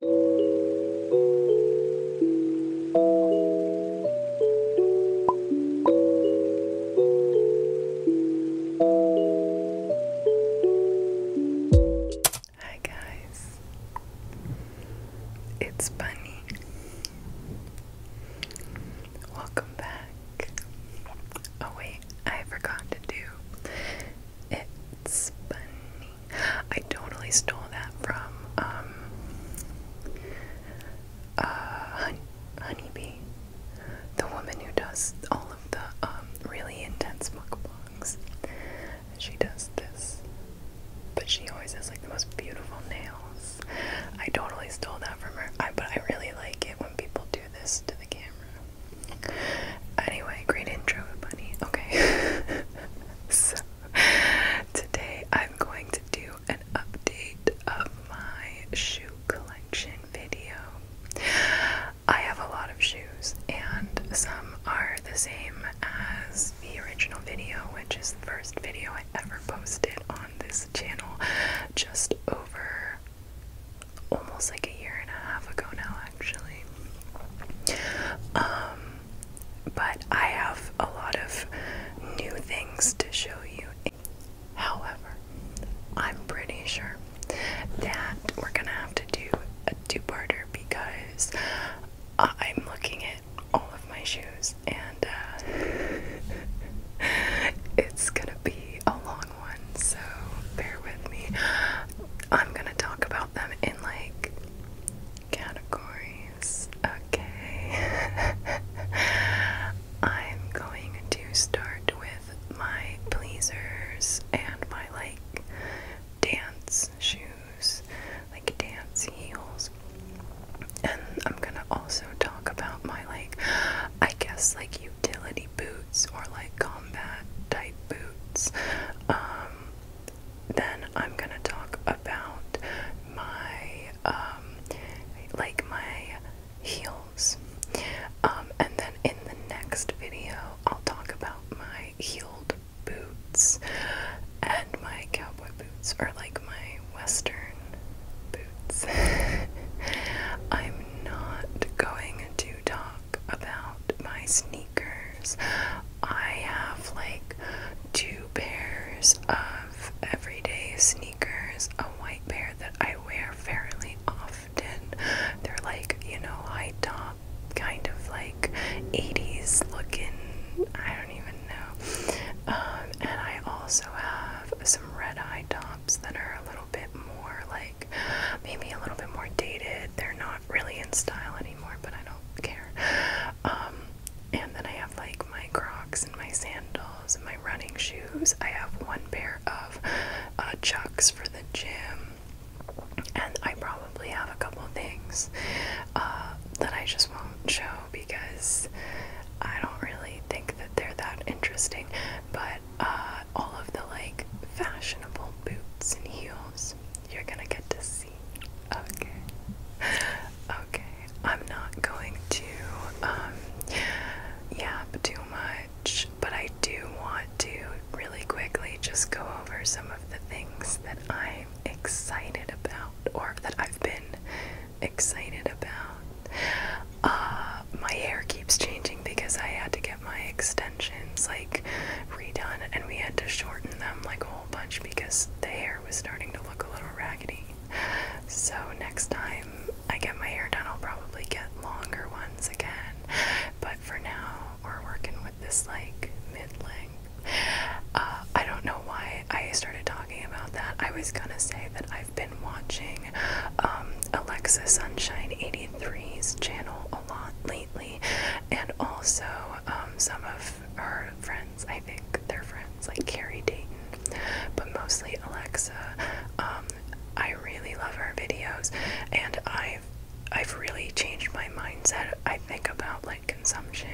Hi guys, it's Bunny. Welcome back. Oh wait, I forgot to do it's Bunny. I totally stole that from um, uh, Honeybee, the woman who does all of the um, really intense mukbangs. She does this, but she always has like the most beautiful nails. I totally stole that from her, but I really like it when people do this to the camera. Anyway, great intro, Bunny. Okay. so, Today I'm going to do an update of my shoe collection video. I have a lot of shoes, and some are the same as the original video, which is the first video I ever posted on this channel just over almost like a year and a half ago now, actually. Um, but I have a lot of new things to show you. However, I'm pretty sure that we're gonna have to do a two-parter because I'm looking at all of my shoes and uh, it's gonna be a long one, so bear with me. I'm gonna talk about them in like categories. Okay. I'm going to start with my pleasers and my like dance shoes, like dance heels. And I'm gonna also talk about my like, I guess like utility boots or like combat type boots. Um, then I'm gonna talk about my um, like my heels. Um, and then in the next video, I'll talk about my heeled boots and my cowboy boots, or like my western boots. I'm not going to talk about my sneakers sneakers. I have like two pairs of everyday sneakers, a white pair that I wear fairly often. They're like, you know, high top, kind of like 80s looking, I don't even know. Um, and I also have some red high tops that are a little bit more like maybe a little bit more dated. They're not really in style anymore, but I don't don't care. Um, and then I have like my Crocs and my sandals and my running shoes. I have one pair of uh, Chucks for the gym, and I probably have a couple things uh, that I just won't show because I don't really think that they're that interesting. But uh, all of the like fashionable boots and heels, you're gonna get to see. Okay. Okay. I'm not going to um yap too much, but I do want to really quickly just go over some of the things that I'm excited about or that I've been excited about. Uh, my hair keeps changing because I had to get my extensions like redone and we had to shorten them like a bunch because the hair was starting to look a little raggedy. So, next time I get my hair done, I'll probably get longer ones again. But for now, we're working with this like mid length. Uh, I don't know why I started talking about that. I was gonna say that I've been watching um, Alexa Sunshine 83's channel a lot lately, and also um, some of her friends. I think they're friends, like Carrie Dayton, but mostly Alexa. Um, I really love her videos, and I've I've really changed my mindset. I think about like consumption.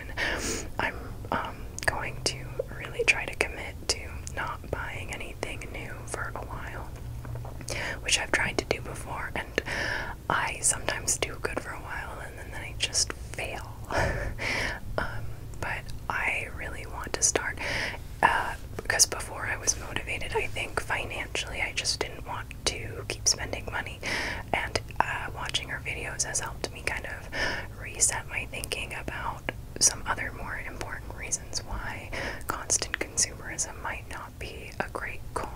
I'm um, going to really try to commit to not buying anything new for a while, which I've tried to do before, and I sometimes do good for a while and then, I just fail. Um, but I really want to start uh, because before I was motivated, I think financially, I just didn't want to keep spending money. And uh, watching her videos has helped me kind of reset my thinking about some other more important reasons why constant consumerism might not be a great goal.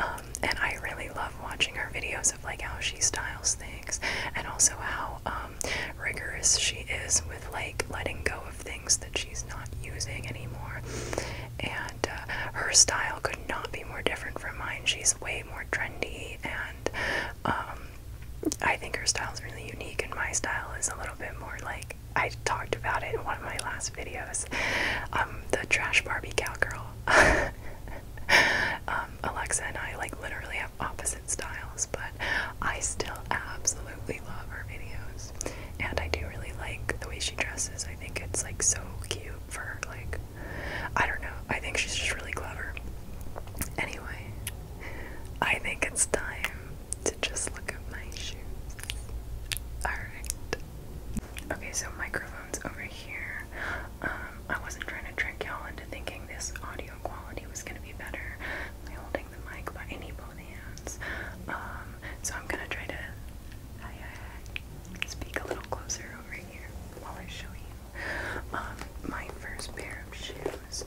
Um, um, and I really love watching her videos of like how she styles things and also how um, rigorous she is with like letting go of things that she's not using anymore. And uh, her style could not be more different from mine. She's way more trendy and um, I think her style is really unique and my style is a little bit more like I talked about it in one of my last videos. the trash Barbie cowgirl. um, Alexa and I like literally have opposite styles, but I still absolutely love her videos, and I do really like the way she dresses. I think it's like so cute for her, like I don't know. I think she's just really clever. Anyway, I think it's time to just look at my shoes. All right. Okay, so microphones over here. Um, I wasn't trying to trick y'all into thinking this audio quality was going to be better by holding the mic, but any both hands. Um, so I'm going to try to speak a little closer over here while I show you. Um, my first pair of shoes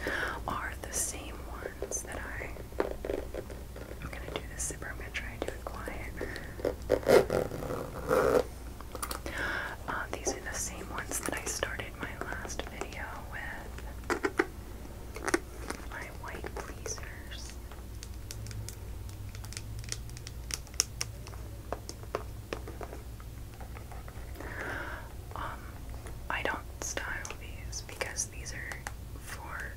are the same ones that I. I'm going to do this zipper. I'm going to try to do it quiet. Um, these are the same ones that I started my last video with. My white pleasers. Um, I don't style these because these are for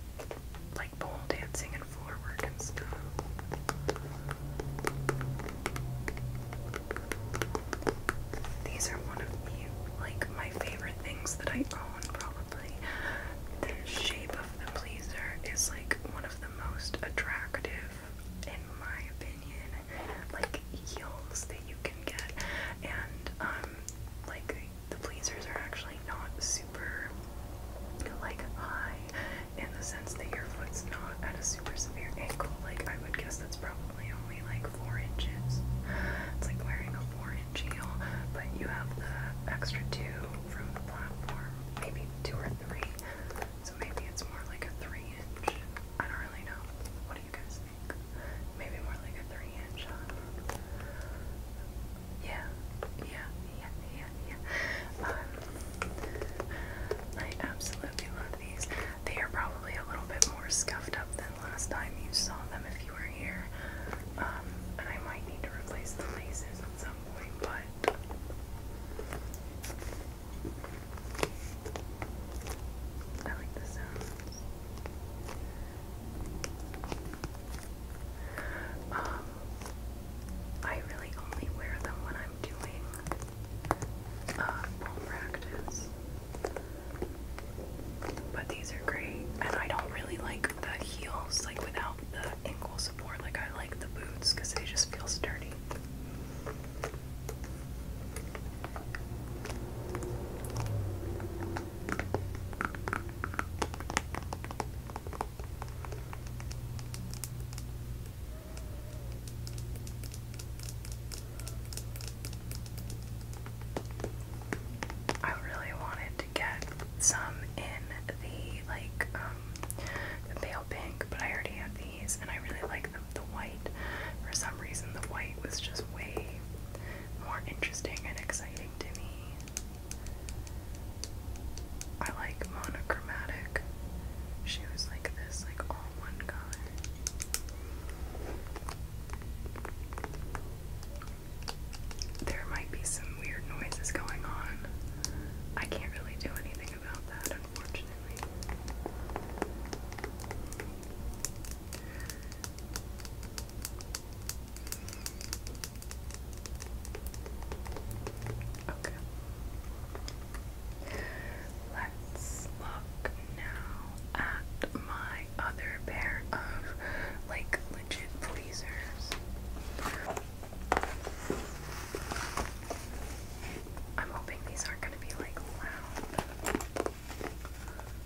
like pole dancing and floor work and stuff. These are one of like my favorite things that I own probably. The shape of the pleaser is like one of the most attractive in my opinion like heels that you can get and um like the pleasers are actually not super like high in the sense that your foot's not at a super severe ankle. Like, I would guess that's probably only like four inches. It's like wearing a four inch heel, but you have the extra two from the platform, maybe two or three. So maybe it's more like a three inch. I don't really know. What do you guys think? Maybe more like a three inch. Huh? Yeah, yeah, yeah, yeah, yeah. Um, I absolutely love of these. They are probably a little bit more scuffed up than last time you saw them if you were here. Um, and I might need to replace the laces at some point, but. I like the sounds. Um, I really only wear them when I'm doing uh, practice. But these are great, and I don't really like the heels, like without the ankle support. Like I like the boots because they just feel sturdy. I really wanted to get some in the like um, pale pink, but I already have these and I really like the the white. For some reason the white was just way more interesting and exciting to me. I like monochromatic She was like this, like all there might be some weird noises going on. I can't really do anything about that, unfortunately. Okay let's look now at my other pair of like legit pleasers. I'm hoping these aren't going to be like loud.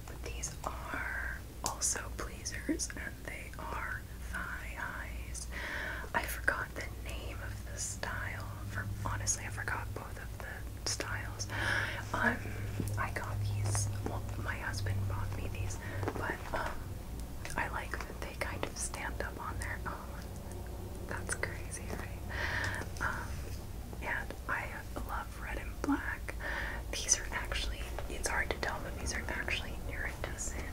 But these are also pleasers and they are thigh highs. I forgot the name of the style. For honestly, I forgot both of the styles. Um, I got these. Well, my husband bought me these, but um, I like that they kind of stand up on their own. That's crazy, right? Um, and I love red and black. These are actually. It's hard to tell, but these are actually iridescent.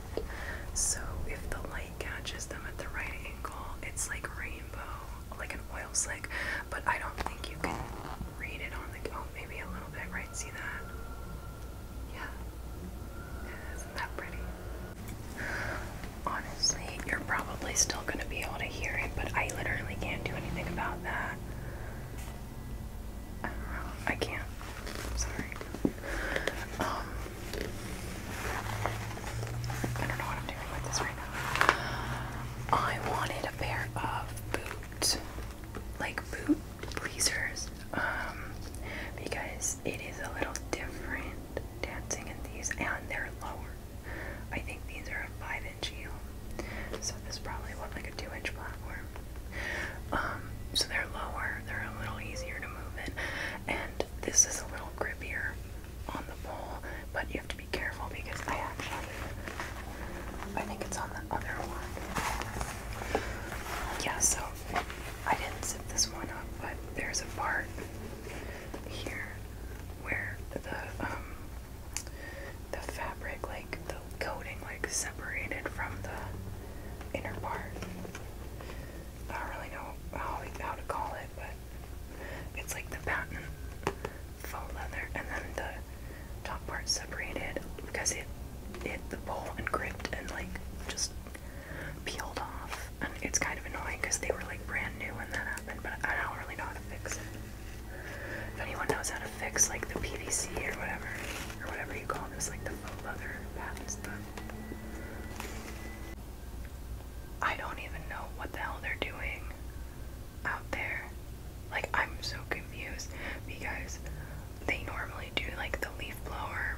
So if the light catches them at the right angle, it's like rainbow like an oil slick, but I don't think you can read it on the. Oh, maybe a little bit, right? See that? Yeah. isn't that pretty? Honestly, you're probably still gonna be able to hear it, but I literally can't do anything about that. I can't. sorry. Um, I don't know what I'm doing with this right now. I wanted a pair of boots, like boot pleasers, um, because it is a little different dancing in these, and they're lower. I think these are a five inch heel, so this is probably what like a two inch platform. Um, so they're lower, they're a little easier to move in, and this is a little grippier on the pole, but you have to be careful because I actually, I think it's on the other one. Yeah, so I didn't zip this one up, but there's a part here where the um, the fabric, like the coating, like separated from the inner part. I don't really know how how to call it, but it's like the patent faux leather, and then the top part separated because it hit the bowl and gripped and like just peeled off. And it's kind of annoying because they were like brand new when that happened, but I don't really know how to fix it. If anyone knows how to fix like the PVC or whatever, or whatever you call this, like the faux leather patent stuff. I don't even know what the hell they're doing out there. Like, I'm so confused because they normally do like the leaf blower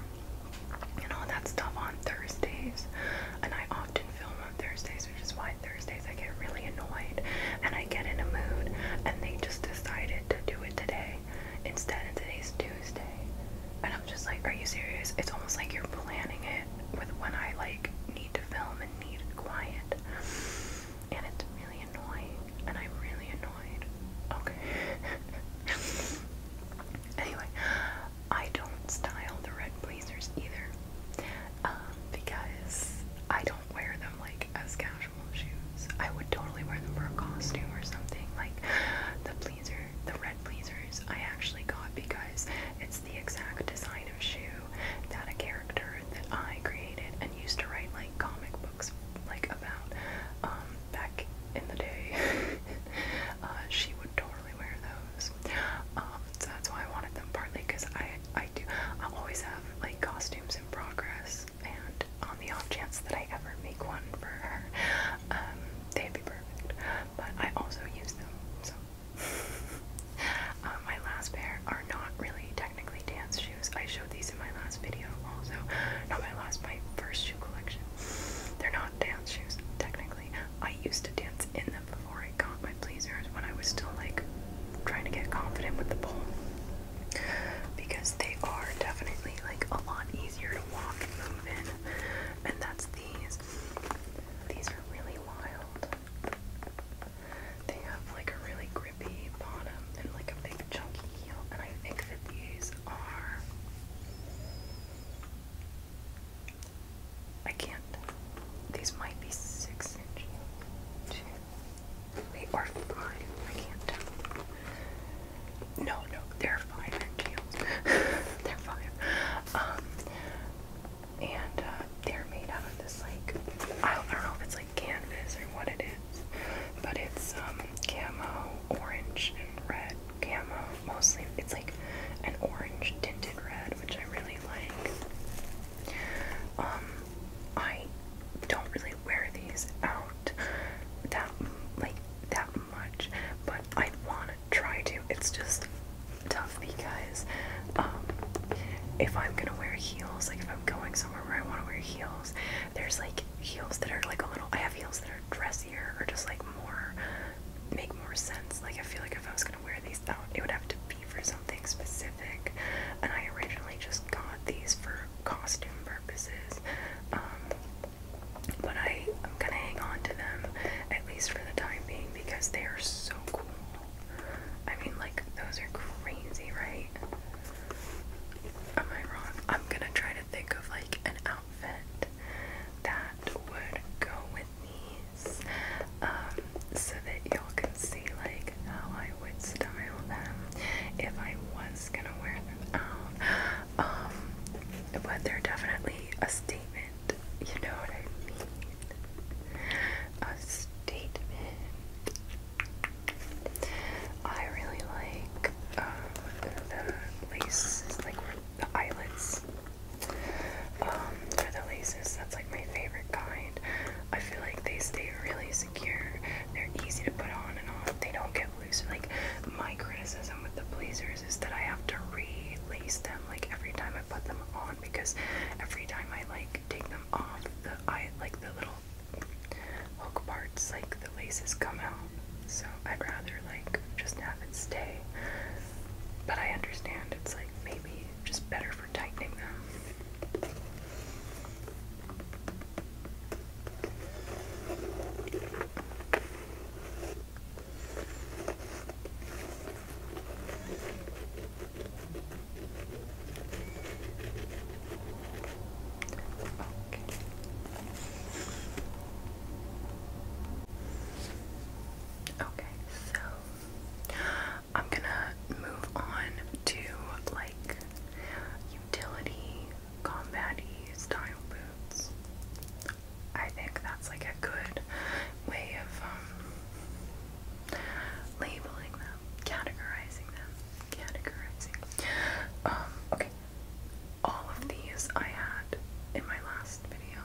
and all that stuff on Thursdays, and I often film on Thursdays, which is why Thursdays I get really annoyed and I get in a mood, and they just decided to do it today instead, and today's Tuesday. And I'm just like, are you serious? It's almost like you're planning it with when I like need to film and need quiet. And it's really annoying. And I'm really annoyed. Okay. anyway, I don't style the red blazers either. Um, because I don't wear them like as casual shoes. I would totally wear them for a costume or something. Like the blazer, the red blazers I actually got because it's. It's the exact design of shoe that a character that I created and used to write like comic books like about um, back in the day. uh, she would totally wear those. Um, so that's why I wanted them partly because I I do I always have like costumes in progress and on the off chance that I ever make one for her, um, they'd be perfect. But I also use them, so Um, my last pair are not really technically dance shoes. I showed these in my last video also. Not my last, my first shoe collection. They're not dance shoes, technically. I used to dance in them before I got my pleasers when I was still like trying to get confident with the pole. Because they are definitely like a lot easier to walk and move in. And that's these. These are really wild. They have like a really grippy bottom and like a big chunky heel, and I think that these are. I can't. These might be six inch They are five. I can't tell. No, no, they're five inch they're five. Um, and uh, they're made out of this like I don't, know if it's like canvas or what it is, but it's um camo, orange and red camo. Mostly it's like an orange tinted red, which I really like. Um, I don't really wear these out that like that much, but I want to try to. It's just tough because um, if I'm gonna wear heels, like if I'm going somewhere where I want to wear heels, there's like heels that are like a little. I have heels that are dressier or just like more make more sense. Like I feel like if I was gonna wear these out, it would have to be for something specific. And I originally just got these for costume purposes, um, but I am gonna hang on to them at least for the time being because they are so cool. I mean, like, those are crazy, right? Am I wrong? I'm gonna try to think of like an outfit that would go with these um, so that y'all can see like how I would style them if I was gonna wear them out. Um, but they're definitely a statement you know what I mean? A statement. I really like um, the laces, like the eyelets. Um, for the laces, that's like my favorite kind. I feel like they stay really secure. They're easy to put on and off. They don't get loose. Like my criticism with the blazers is that I have to re-lace them like every time I put them on because every time I like take them off the eye, like the little hook parts, like the laces come out. So I'd rather like just have it stay. But I understand it's like maybe just better for tightening them. Okay. Okay, so I'm gonna move on to like utility combat style boots. I think that's like a good way of um, labeling them, categorizing them, categorizing. Um, okay, all of these I had in my last video,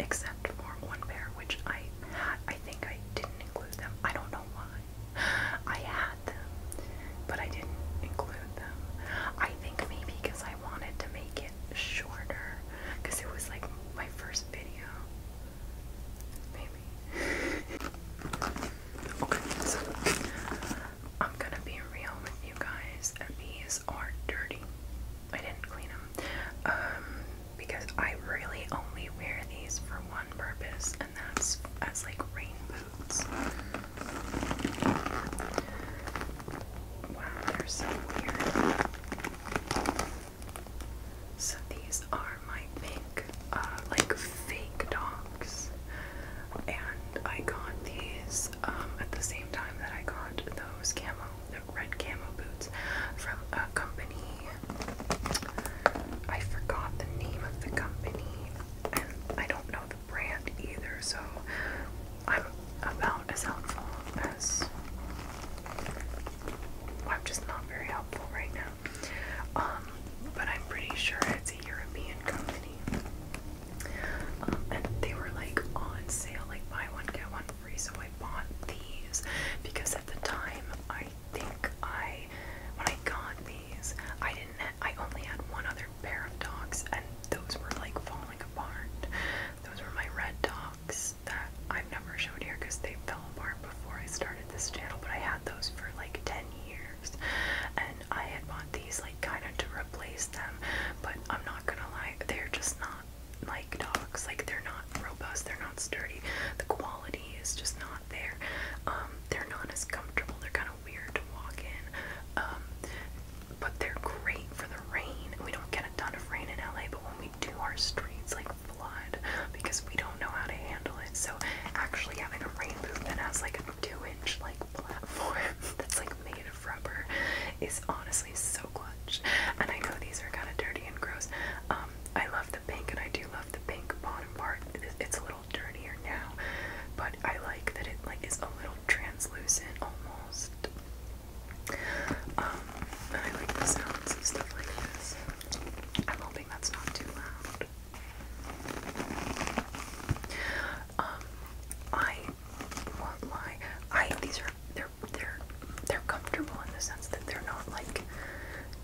except for one pair, which I had. I think I didn't include them. I don't know why. I had them, but I didn't include them. I think maybe because I wanted to make it shorter, because it was like my first video. okay, I'm gonna be real with you guys. These are dirty. I didn't clean them. Um, because I really only wear these for one purpose, and that's as like rain boots. Wow, they're so weird. So these are my pink, uh, like fake dogs, and I got these um, at the same time that I got those camo, the red camo boots from a company. I forgot the name of the company, and I don't know the brand either. So I'm about as helpful as I'm just not very helpful right now. Um, but I'm pretty sure it's a European company. Um, and they were like on sale, like buy one, get one free, so I bought these because at the time I think I when I got these I didn't I only had one other pair of dogs and those were like falling apart. Those were my red dogs that I've never showed here because they fell apart before I started this channel, but I had those for like 10 years. And I had bought these like kind of to replace them, but I'm not gonna lie, they're just not like dogs. Like they're not robust, they're not sturdy. The quality is just not there. Um, they're not as comfortable, they're kind of weird to walk in. Um, but they're great for the rain. We don't get a ton of rain in LA, but when we do our streets, like blood because we don't know how to handle it. So actually having a rain boot that has like a two-inch like platform that's like made of rubber is honestly so clutch. And I know these are kind of dirty and gross. Um, I love the pink and I do love the pink bottom part. It's a little dirtier now, but I like that it like is a little translucent almost. Um, and I like the sounds and stuff like this. I'm hoping that's not too loud. Um, I won't lie. I these are they're they're they're comfortable in the sense that they're not like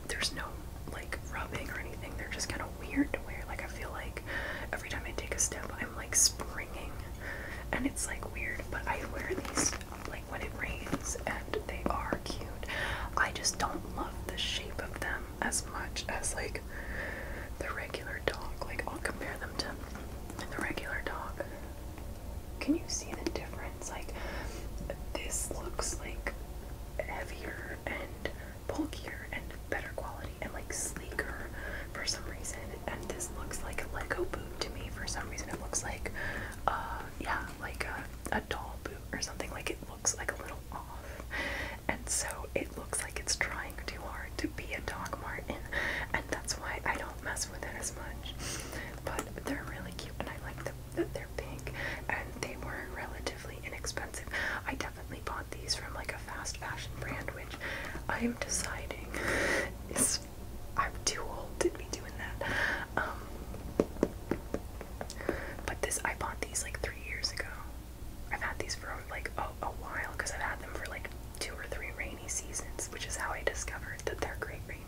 there's no like rubbing or anything. They're just kind of weird to Like I feel like every time I take a step, I'm like springing, and it's like weird. But I wear these when it rains, and they are cute. I just don't love the shape of them as much as like the regular dog. Like I'll compare them to the regular dog. Can you see the difference? Like this looks like heavier and bulkier and better quality and like sleeker for some reason. And this looks like a Lego boot to me for some reason. It looks like, uh, yeah, like a, a doll boot or something. Like it looks like a little off. And so it looks like it's trying too hard to be a dog martin, and that's why I don't mess with it as much. But they're really cute, and I like them. They're pink, and they were relatively inexpensive. I definitely bought these from like a fast fashion brand, which I am deciding is I'm too old to be doing that. Um, but this, I bought these like three years ago. I've had these for like a, while because I've had them for like two or three rainy seasons, which is how I discovered that they're great rain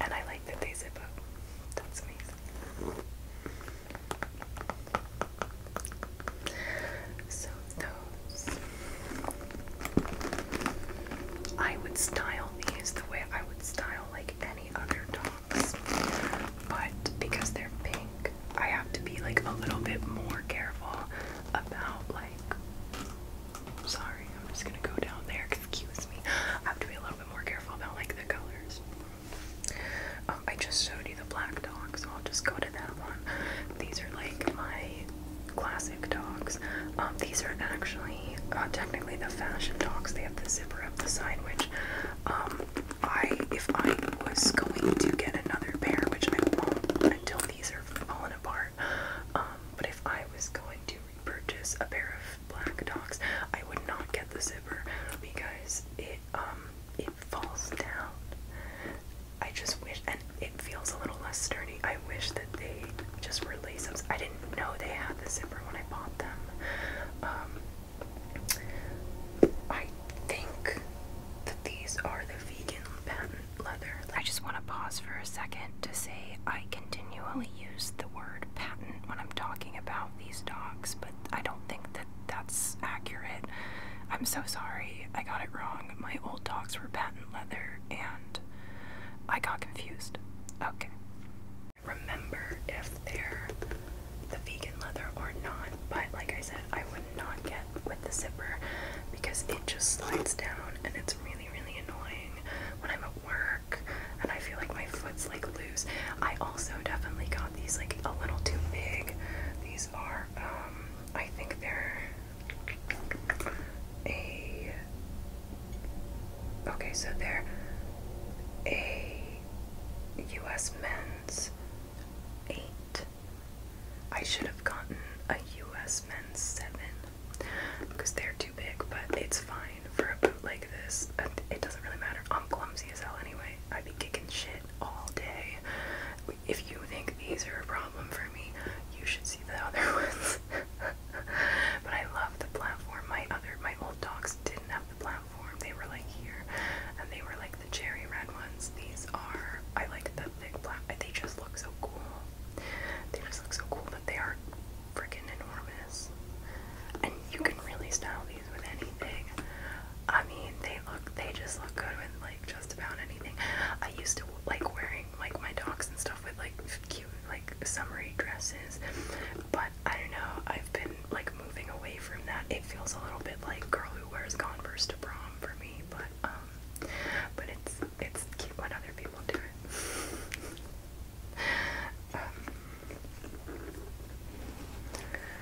And I like that they zip up. That's amazing. So those. I would style these the way I would style like any other tops, but because they're pink, I have to be like a little bit more careful about like. Sorry, I'm just gonna go down there. Excuse me. I have to be a little bit more careful about like the colors. Um, I just showed you the black dog, so I'll just go to that one. These are like my classic dogs. Um, these are actually uh, technically the fashion docs they have the zipper up the side, which um, I, if I was going to get another pair, which I won't until these are falling apart, um, but if I was going to repurchase a pair of black docs, I would not get the zipper because it, um, it falls down. I just wish, and it feels a little less sturdy. I wish that they just were I didn't know they had the zipper when I bought them. Um, I think these are the vegan patent leather. I just want to pause for a second to say I continually use the word patent when I'm talking about these dogs, but I don't think that that's accurate. I'm so sorry, I got it wrong. My old dogs were patent leather and I got confused. Okay remember if they're the vegan leather or not, but like I said, I would not get with the zipper because it just slides down and it's really, really annoying when I'm at work and I feel like my foot's like loose. I also definitely got these like a little too big. These are, um, I think they're a Okay, so they're a U.S. men's eight. I should have gotten a U.S. men's seven because they're too big, but it's fine for a boot like this. It doesn't really matter. I'm clumsy as hell anyway. I'd be kicking shit all day. If you think these are a problem for me, you should see the other ones. but I love the platform. My other, my old dogs didn't the platform. They were like here, and they were like the cherry red ones. These are I like the thick black. They just look so cool. They just look so cool, but they are freaking enormous. And you can really style these with anything. I mean, they look. They just look good with like just about anything. I used to like wearing like my dogs and stuff with like cute like summery dresses but I don't know, I've been like moving away from that. It feels a little bit like girl who wears Converse to prom for me, but um but it's it's cute when other people do it.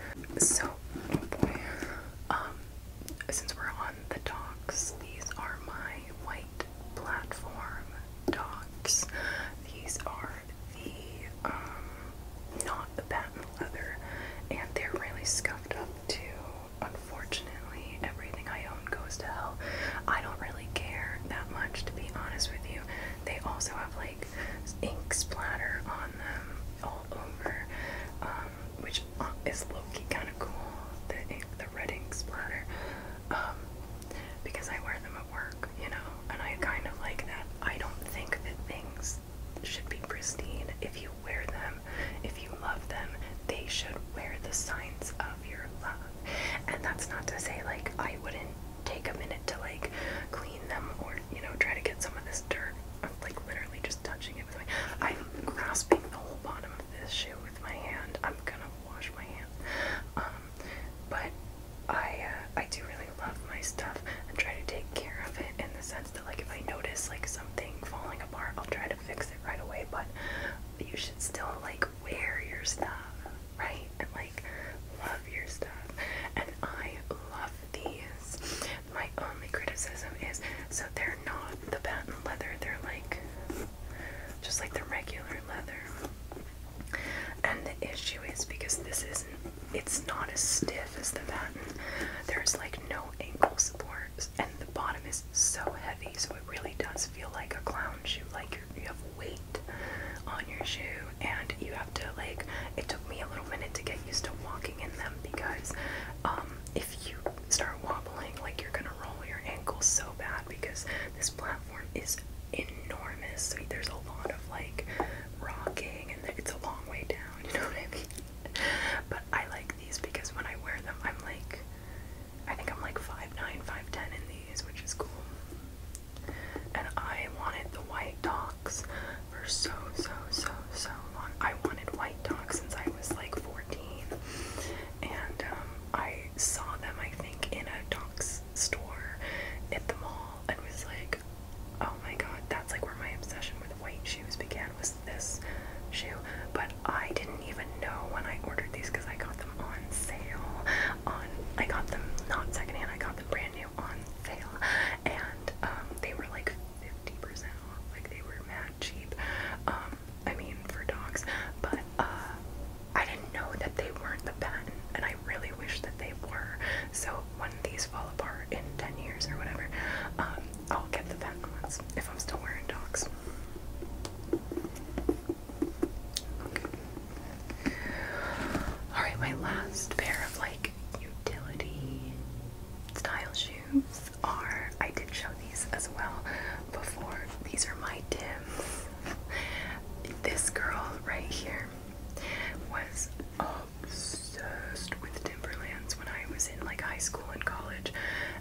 Um, so oh um, since we're on the dogs, these are my white platform dogs. These are the um not the patent leather and they're really scuffed up too. Unfortunately, everything I own goes to hell. I don't really care that much to be honest with you. They also have like ink splatter on them all over, um, which uh, is low-key kind of cool. The ink, the red ink splatter, um, because I wear them at work you know? And I kind of like that. I don't think that things should be pristine. If you wear them, if you love them, they should wear the signs of your love. And that's not to say, like, I wouldn't take a minute to, like, clean them or, you know, try to get some of this dirt. I'm, like, literally just touching it with my... I'm grasping the whole bottom of this shoe with my hand. I'm gonna wash my hands. Um, but I uh, I do really love my stuff and try to take care of it in the sense that like if I notice like something falling apart, I'll try to fix it right away. But you should still like wear your stuff, right? And like love your stuff. And I love these. My only criticism is so they're not the patent leather. They're like just like the regular leather. And the issue is because this isn't, it's not as stiff as the batten, there's like no ankle support, and the bottom is so heavy, so it really does feel like a clown shoe, like you have weight on your shoe, and you have to like, it took me a little minute to get used to walking in them because um, if you start wobbling, like you're gonna roll your ankles so bad because this platform is enormous, so there's a lot of like rocking, and it's a long way down, you know what I mean? But I like these because when I wear them, I'm like, I think I'm like 5'9, 5'10 in these, which is cool. And I wanted the white docs for so, so, so, so long. I wanted white docs since I was like 14. And um, I saw them, I think, in a docs store at the mall and was like, oh my god, that's like where my obsession with white shoes began was this shoe. But I didn't even know when I ordered these because I got them on sale. On I got them not secondhand, I got them brand new on sale. And um they were like 50% off. Like they were mad cheap. Um, I mean for dogs. But uh I didn't know that they weren't the patent and I really wish that they were. So when these fall apart in 10 years or whatever, um, I'll get the patent ones if I'm still wearing dogs. Alright, my last pair of like utility style shoes are, I did show these as well before. These are my Tims. This girl right here was obsessed with Timberlands when I was in like high school and college,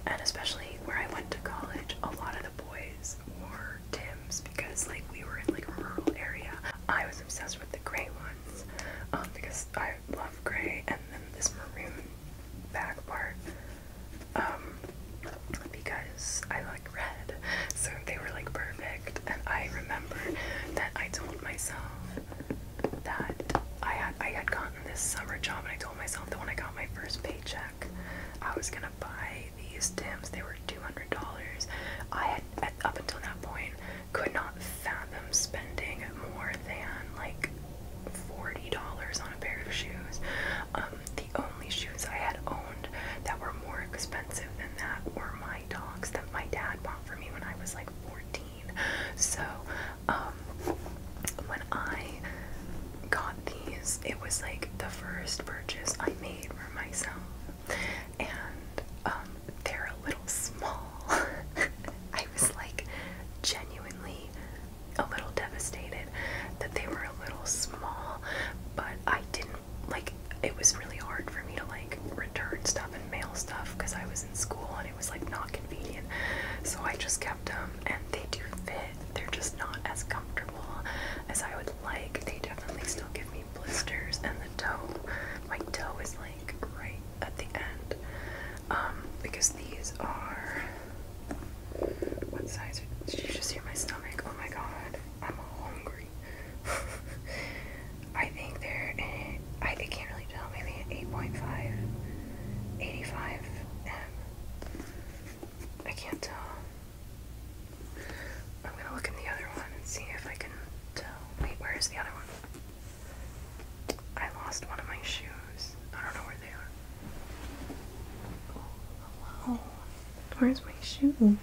and especially where I went to college, a lot of the boys wore Tims because like we were in like a rural area. I was obsessed with the gray ones um, because I love gray, and then this maroon back part um, because I like red good. So they were like perfect. And I remember that I told myself that I had I had gotten this summer job and I told myself that when I got my first paycheck I was gonna buy these Tims. They were two hundred dollars. I had at, up until that point could not fathom spending more than like forty dollars on a pair of shoes. Um, the only shoes I had owned that were more expensive than that were my dogs that my dad bought for me when I was like 14. So, um, when I got these, it was like the first purchase I made for myself. And, um, they're a little small. I was like genuinely a little devastated that they were a little small, but I didn't like it was really hard for me to like return stuff and mail stuff because I was in school and it was like not convenient. So I just kept them and they do fit. They're just not as comfortable as I would like. They definitely still give me blisters and the toe. My toe is like right at the end. Um, because these are what size? Did you just hear my stomach? Oh my god, I'm hungry. I think they're eh, I, can't really tell, maybe an 8.5, 85 M. I can't tell. I'm gonna look in the other one and see if I can tell. Wait, where is the other one? I lost one of my shoes. I don't know where they are. Oh, Where's my shoe?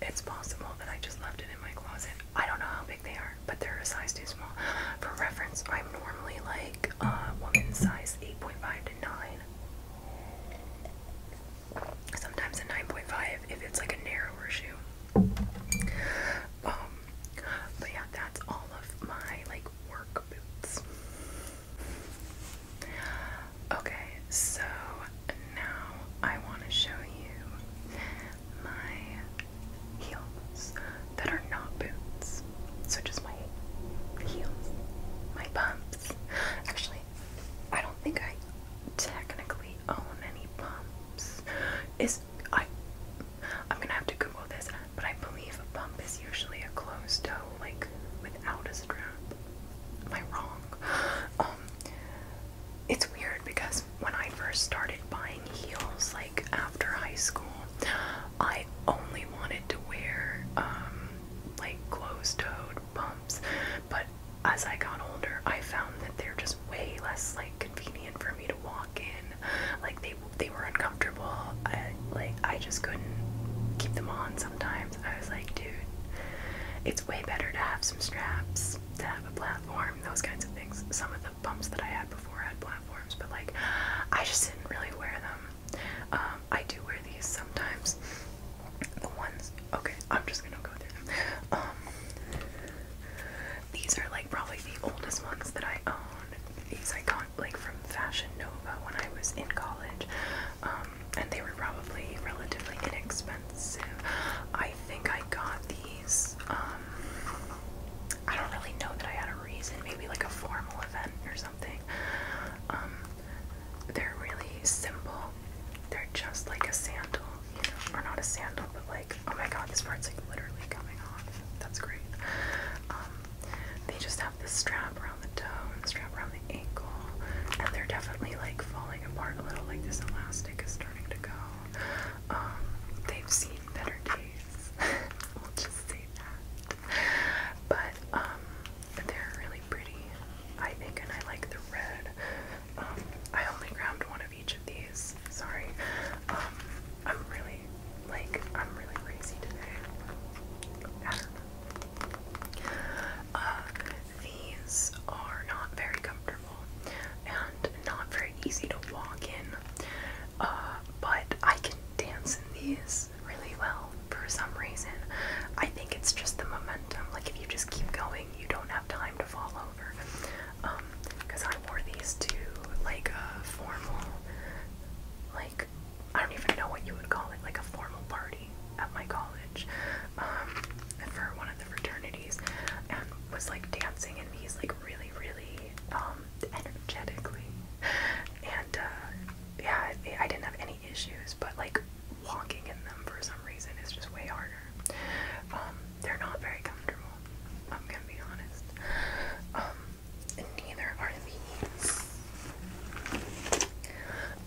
It's possible that I just left it in my closet. I don't know how big they are, but they're a size too small. For reference, I'm normally like a uh, woman's size 8.5 to 9. Sometimes a 9.5 if it's like a narrower shoe. Um, but yeah, that's all of my like work boots. Okay, so now I want to show you my heels that are not boots. So just my heels, my pumps. Actually, I don't think I technically own any pumps. Is I I'm gonna have to Google this, but I believe a pump is usually a closed toe, like without a strap. Am I wrong? Um, it's weird because when I first started buying heels, like after high school, I only wanted to wear um, like closed-toed pumps. But as I got older, I found that they're just way less like convenient for me to walk in. Like they they were uncomfortable. like I just couldn't keep them on. Sometimes I was like, dude, it's way better to have some straps to have a platform, those kinds of things. Some of the pumps that I had before had platforms, but like I just didn't really wear them. Um, I do wear these sometimes. The ones, okay, I'm just gonna go through them. Um, these are like probably the oldest ones that I own. These I got like from Fashion Nova when I was in college, um, and they were probably relatively inexpensive. I think I got these. Um, I don't really know that I had a reason. Maybe like a formal event or something. Um, they're really simple. They're just like a sandal, you know, or not a sandal, but like oh my god, this part's like literally coming off. That's great. Um, they just have this strap around the toe and the strap around the ankle, and they're definitely like falling apart a little. Like this elastic is um, they've seen better days. we'll just say that. Um, but they're really pretty, I think, and I like the red. Um, I only grabbed one of each of these. Sorry. I'm really like I'm really crazy today. I don't know. Uh, these are not very comfortable and not very easy to walk in, uh, but I can dance in these really well for some reason. I think it's just the momentum. Like if you just keep going, you don't have time to fall over. because um, I wore these to like a formal, like I don't even know what you would call it, like a formal party at my college. Um, for one of the fraternities and was like dancing and he's like really really um, energetically and uh, yeah I, didn't have any issues but like walking in them for some reason is just way harder um, they're not very comfortable I'm gonna be honest um, neither are these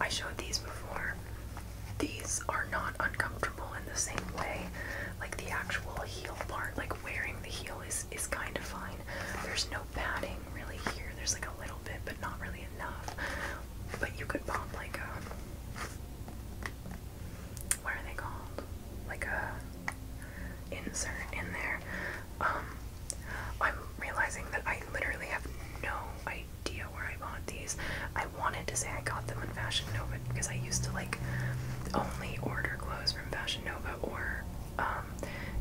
I showed these before these are not uncomfortable in the same way. Like the actual heel part, like wearing the heel is is kind of fine. There's no padding really here. There's like a little bit, but not really enough. But you could pop like a um, what are they called? Like a uh, insert in there. Um, I'm realizing that I literally have no idea where I bought these. I wanted to say I got them on Fashion Nova because I used to like only order clothes from Fashion Nova or um,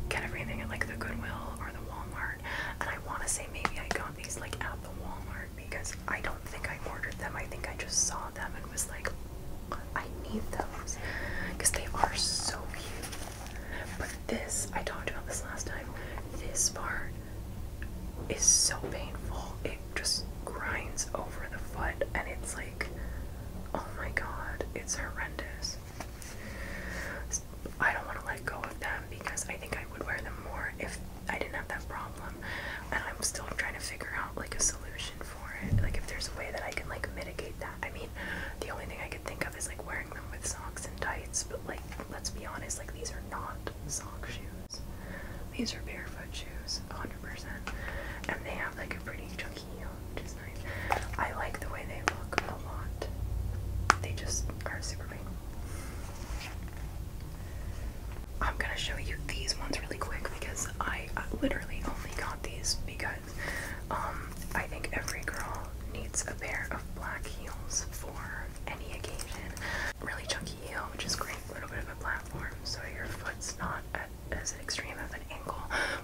get everything at like the Goodwill or the Walmart. And I want to say maybe I got these like at the Walmart because I don't think I ordered them. I think I just saw them and was like, I need those because they are so cute. But this, I talked about this last time. This part is so painful. It just grinds over the foot, and it's like, oh my god, it's horrendous. I don't want to let go of them because I think I would wear them more if I didn't have that problem. And I'm still trying to figure out like a solution for it. Like if there's a way that I can like mitigate that. I mean, the only thing I could think of is like wearing them with socks and tights, but like let's be honest, like these are not sock shoes. These are barefoot shoes, 100%. And they have like a pretty chunky heel, which is nice. I like the way they look a lot. They just are super big. I'm gonna show you these ones really quick because I, uh, literally only got these because um, I think every girl needs a pair of black heels for any occasion. Really chunky heel, which is great a little bit of a platform so your foot's not as extreme of an angle,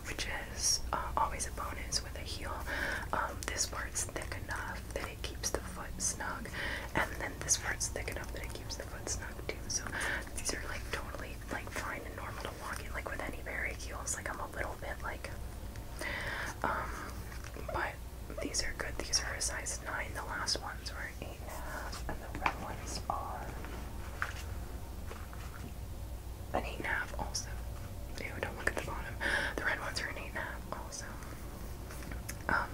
which is uh, always a bonus with a heel. Um, this part's thick enough that it keeps the foot snug, and then this part's thick enough that it keeps the foot snug too. So these are like totally like fine and normal to walk in. Like with any varied heels, like I'm a little bit like, um, but these are good. These are a size nine. The last ones were eight and the red ones are an eight and a half also. Ew, don't look at the bottom. The red ones are an eight and a half also. Um,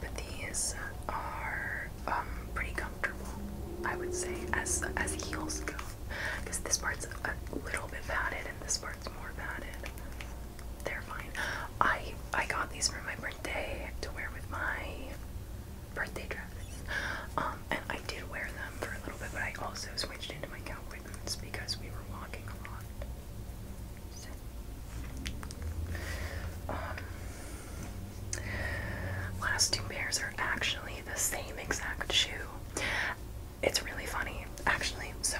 but these are um, pretty comfortable, I would say, as as heels go, because this part's a little bit padded and this part's more padded. They're fine. I I got these from my birthday to wear with my birthday dresses. Um, and I did wear them for a little bit, but I also switched into my cowboy boots because we were walking a lot. Um, last two pairs are actually the same exact shoe. It's really funny, actually. So,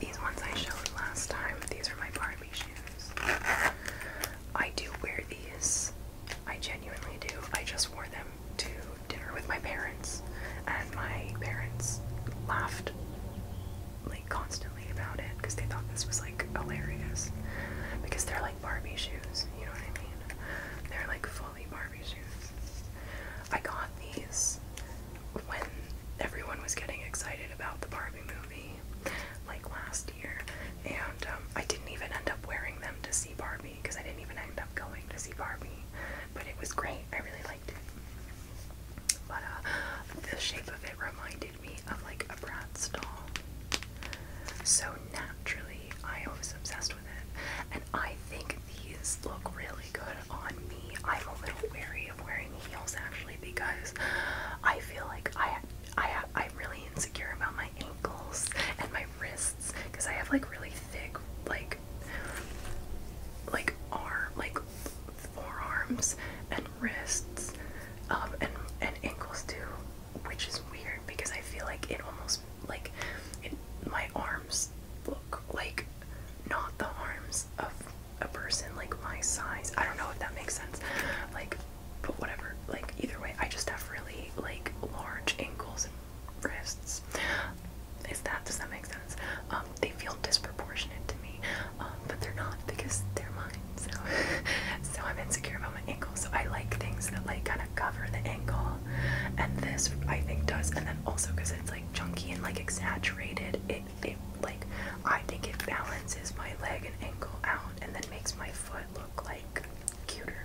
these ones I showed last time, these are my Barbie shoes. I do wear these. I genuinely do. I just wore them to dinner with my parents, and my parents laughed like constantly about it because they thought this was like hilarious. Because they're like Barbie shoes, you know what I mean? They're like fully Barbie shoes. I got these when everyone was getting excited about the Barbie movie, like last year, and um, I didn't even end up wearing them to see Barbie because I didn't even end up going to see Barbie, but it was great. I really liked it. But uh, the shape of it reminded me of like a Bratz doll, so naturally I was obsessed with it, and I think these look really good on me. I'm a little wary of wearing heels actually because I feel like I I I'm really insecure about my ankles and my wrists because I have like really thick like like arm like forearms and wrists um and and ankles too, which is weird because I feel like it almost like my arms look like not the arms of a person like my size. I don't know if that makes sense. Like but whatever. Like either way, I just have really like large ankles and wrists. Is that does that make sense? Um, they feel disproportionate to me, um, but they're not because they're mine. So, so I'm insecure about my ankles. So I like things that like kind of cover the ankle, and this I think does. And then also because it's like chunky and like exaggerated, it it like I think it balances my leg and ankle out and that makes my foot look like cuter.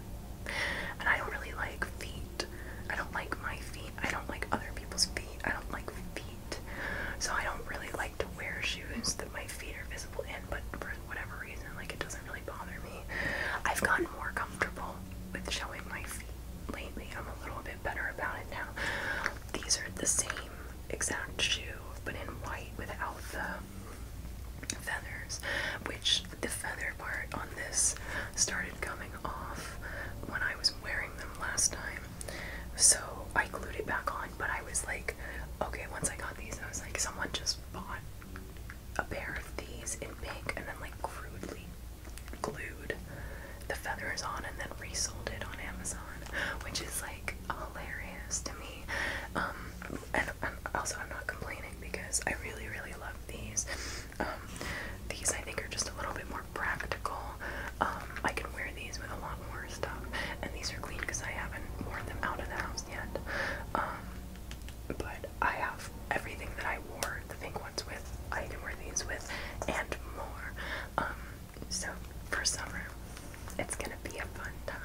And I don't really like feet. I don't like my feet. I don't like other people's feet. I don't like feet. So I don't really like to wear shoes that my feet are visible in, but for whatever reason, like it doesn't really bother me. I've gotten more comfortable with showing my feet lately. I'm a little bit better about it now. These are the same exact shoe, but in white without the feathers, which the feather part on this started coming off when I was wearing them last time. So I glued it back on, but I was like, okay, once I got these, I was like, someone just bought a pair of these in pink and then like crudely glued the feathers on and then resold it on Amazon, which is like hilarious to me. Um, I'm, also, I'm not complaining because I really, really love these. Um, these I think are just a little bit more practical. Um, I can wear these with a lot more stuff, and these are clean because I haven't worn them out of the house yet. but I have everything that I wore the pink ones with. I can wear these with, and more. so for summer, it's gonna be a fun time.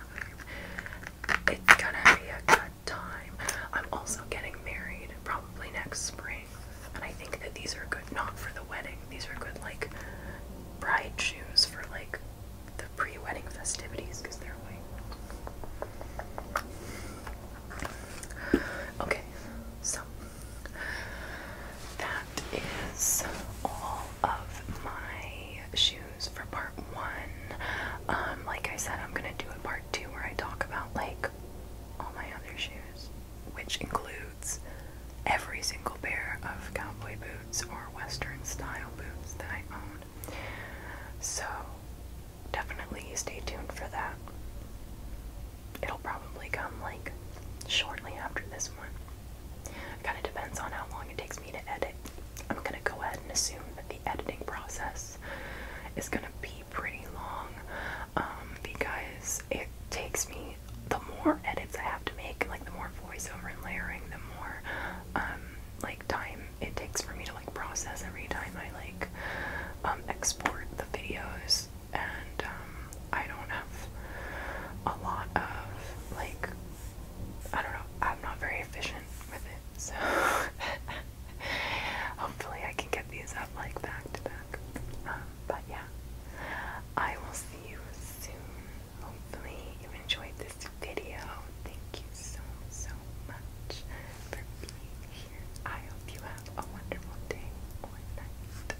It's gonna be a good time. I'm also getting married probably next spring, and I think that these are good not for the wedding. These are good like bride shoes for like the pre-wedding festivities because they're white. Okay, so that is all of my shoe for part one. Um, like I said, I'm gonna do a part two where I talk about like all my other shoes, which includes every single pair of cowboy boots or western style boots that I own. So definitely stay tuned for that. It'll probably come like shortly after this one. Kind of depends on how long it takes me to edit. I'm gonna go ahead and assume that the editing process is gonna be pretty long um, because it takes me the more edits I have to make, like the more voiceover and layering, the more um, like time it takes for me to like process every time I like um, export the videos, and I don't have a lot of like I don't know, I'm not very efficient with it, so hopefully I can get these up like back to back. Um, but yeah, I will see you soon. Hopefully, you enjoyed this video. Thank you so, so much for being here. I hope you have a wonderful day or night.